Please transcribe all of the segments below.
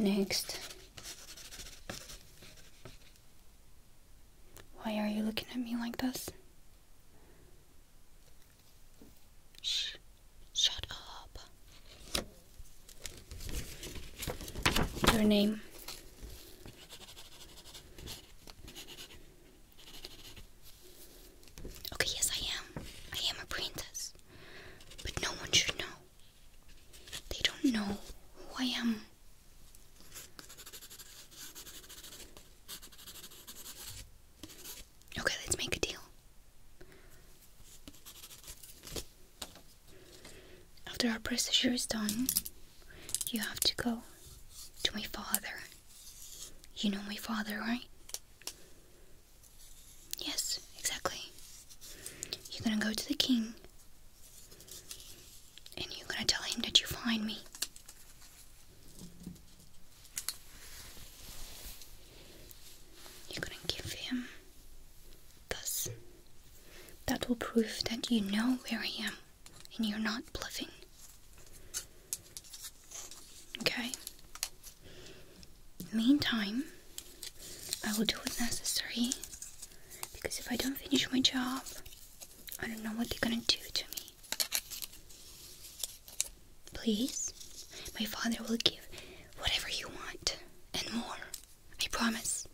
Next. Why are you looking at me like this? Shh. Shut up. Your name. Okay, yes, I am. I am a princess. But no one should know. They don't know who I am. Okay, let's make a deal. After our procedure is done, you have to go to my father you know my father, right? Yes, exactly. You're gonna go to the king and you're gonna tell him that you find me. You're gonna give him this. That will prove that you know where I am and you're not bluffing. Okay? Meantime, I will do what necessary because if I don't finish my job, I don't know what they're gonna do to me. Please, my father will give whatever you want and more. I promise.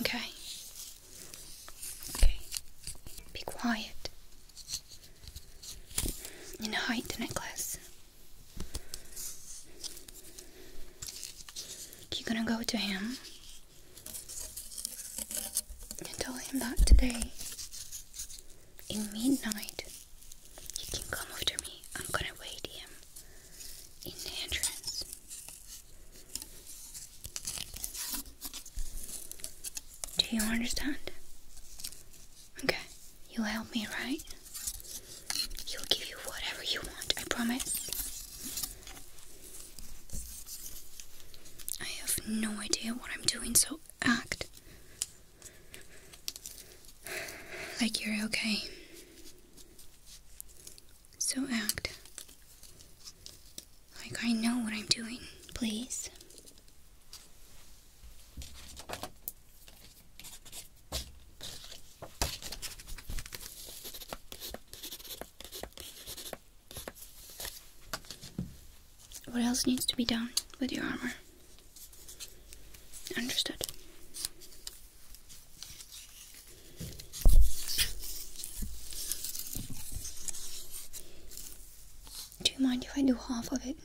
Okay? Okay. Be quiet and hide the necklace. You're gonna go to him and tell him that today, in midnight, he can come after me. I'm gonna wait him in the entrance. Do you understand? Okay, you'll help me, right? He'll give you whatever you want, I promise. I have no idea what I'm doing, so act like you're okay. So act like, I know what I'm doing. Please. What else needs to be done with your armor? Understood. Do you mind if I do half of it?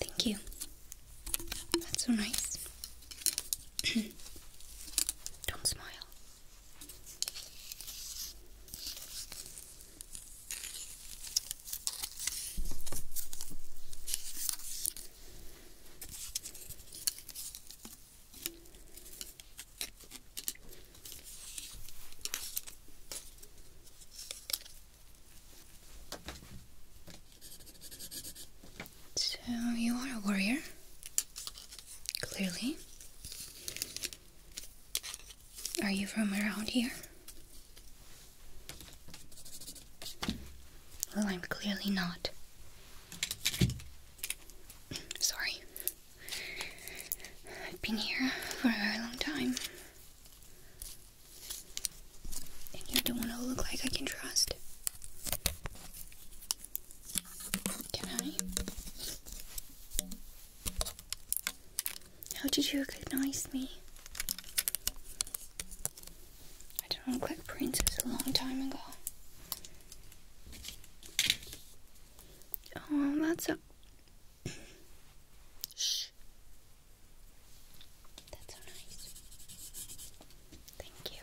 Thank you. That's so nice. Don't smile. So, you are a warrior, clearly. Are you from around here? Well, I'm clearly not. Sorry. I've been here for a very long time. And you don't want to look like I can trust. Can I? How did you recognize me? I don't look like princess a long time ago. Oh, that's a. Shh. That's so nice. Thank you.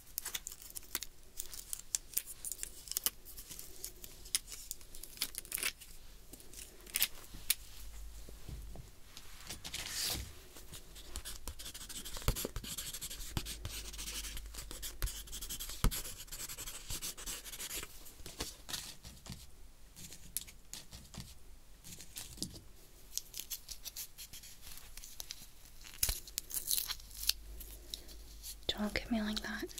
Don't look at me like that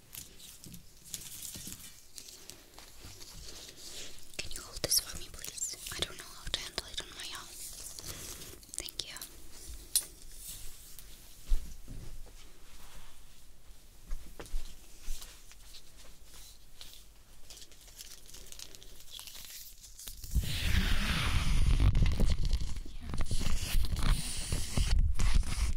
Can you hold this for me, please? I don't know how to handle it on my own. Thank you.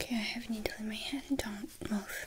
Okay, I have a needle in my head and don't move.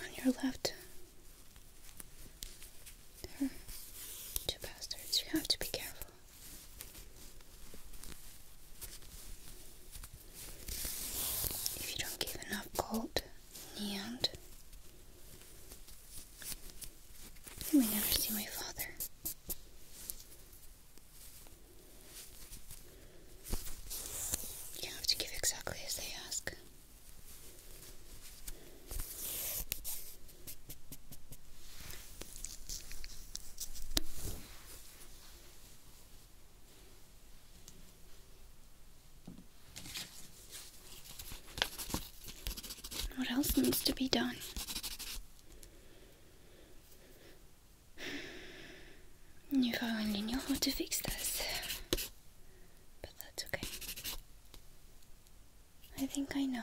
On your left, two bastards. You have to be careful. If you don't give enough gold in you may never see my father. You have to give exactly as they ask. What else needs to be done? If I only knew how to fix this. But that's okay. I think I know.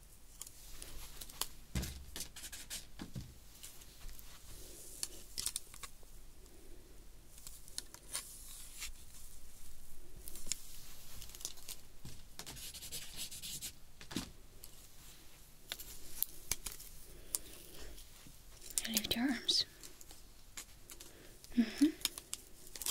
Lift your arms. -hmm.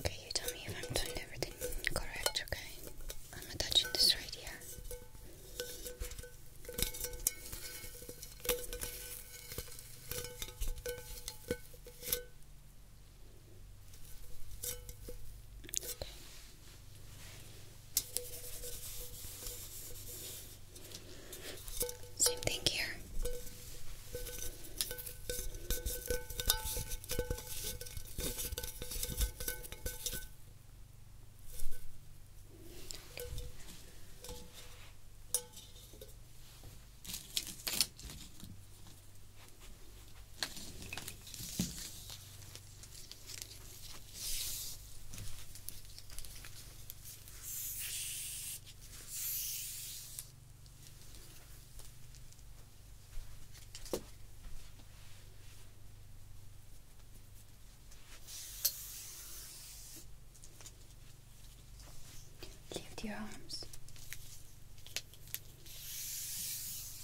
Okay, you tell me if I'm doing everything correct, okay? I'm attaching this right here. Okay. Same thing here. Lift your arms.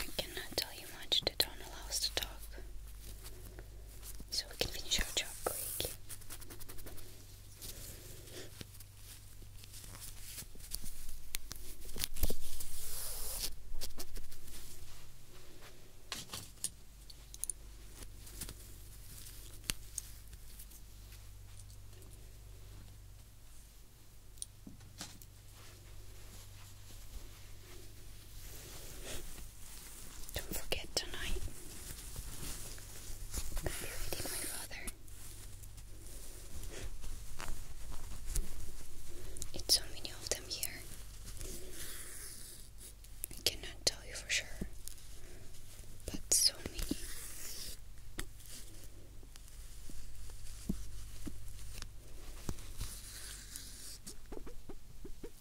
I cannot tell you much, they don't to talk so we can finish our chocolate cake. Don't forget tonight. I'm gonna be reading my brother. It's so many of them here. I cannot tell you for sure, but so many.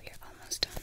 We are almost done.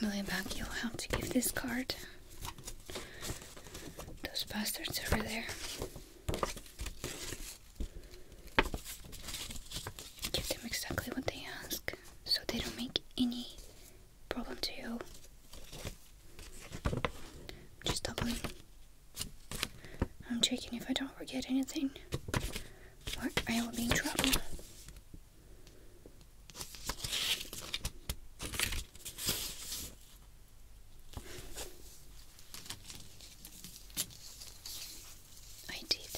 On the way back, to give this card. Those bastards over there. Give them exactly what they ask so they don't make any problem to you. Just doubling. I'm checking if I don't forget anything. I will be in trouble. I did.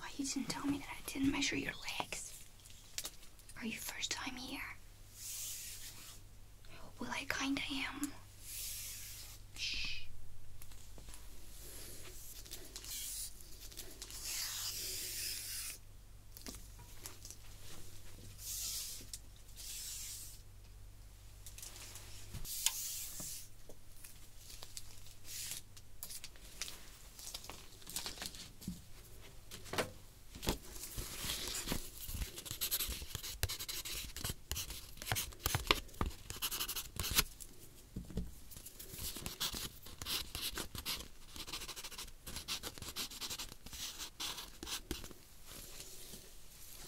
Why you didn't tell me that I didn't measure your legs? Are you first time here? Well, I kinda am. Shh.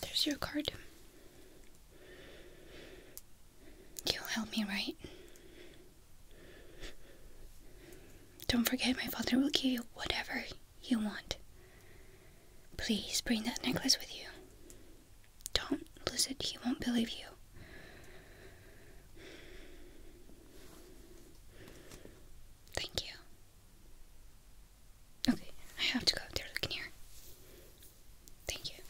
There's your card. You'll help me, right? Don't forget, my father will give you whatever you want. Please bring that necklace with you. Don't lose it, he won't believe you. Thank you. Okay, I have to go up there looking here. Thank you.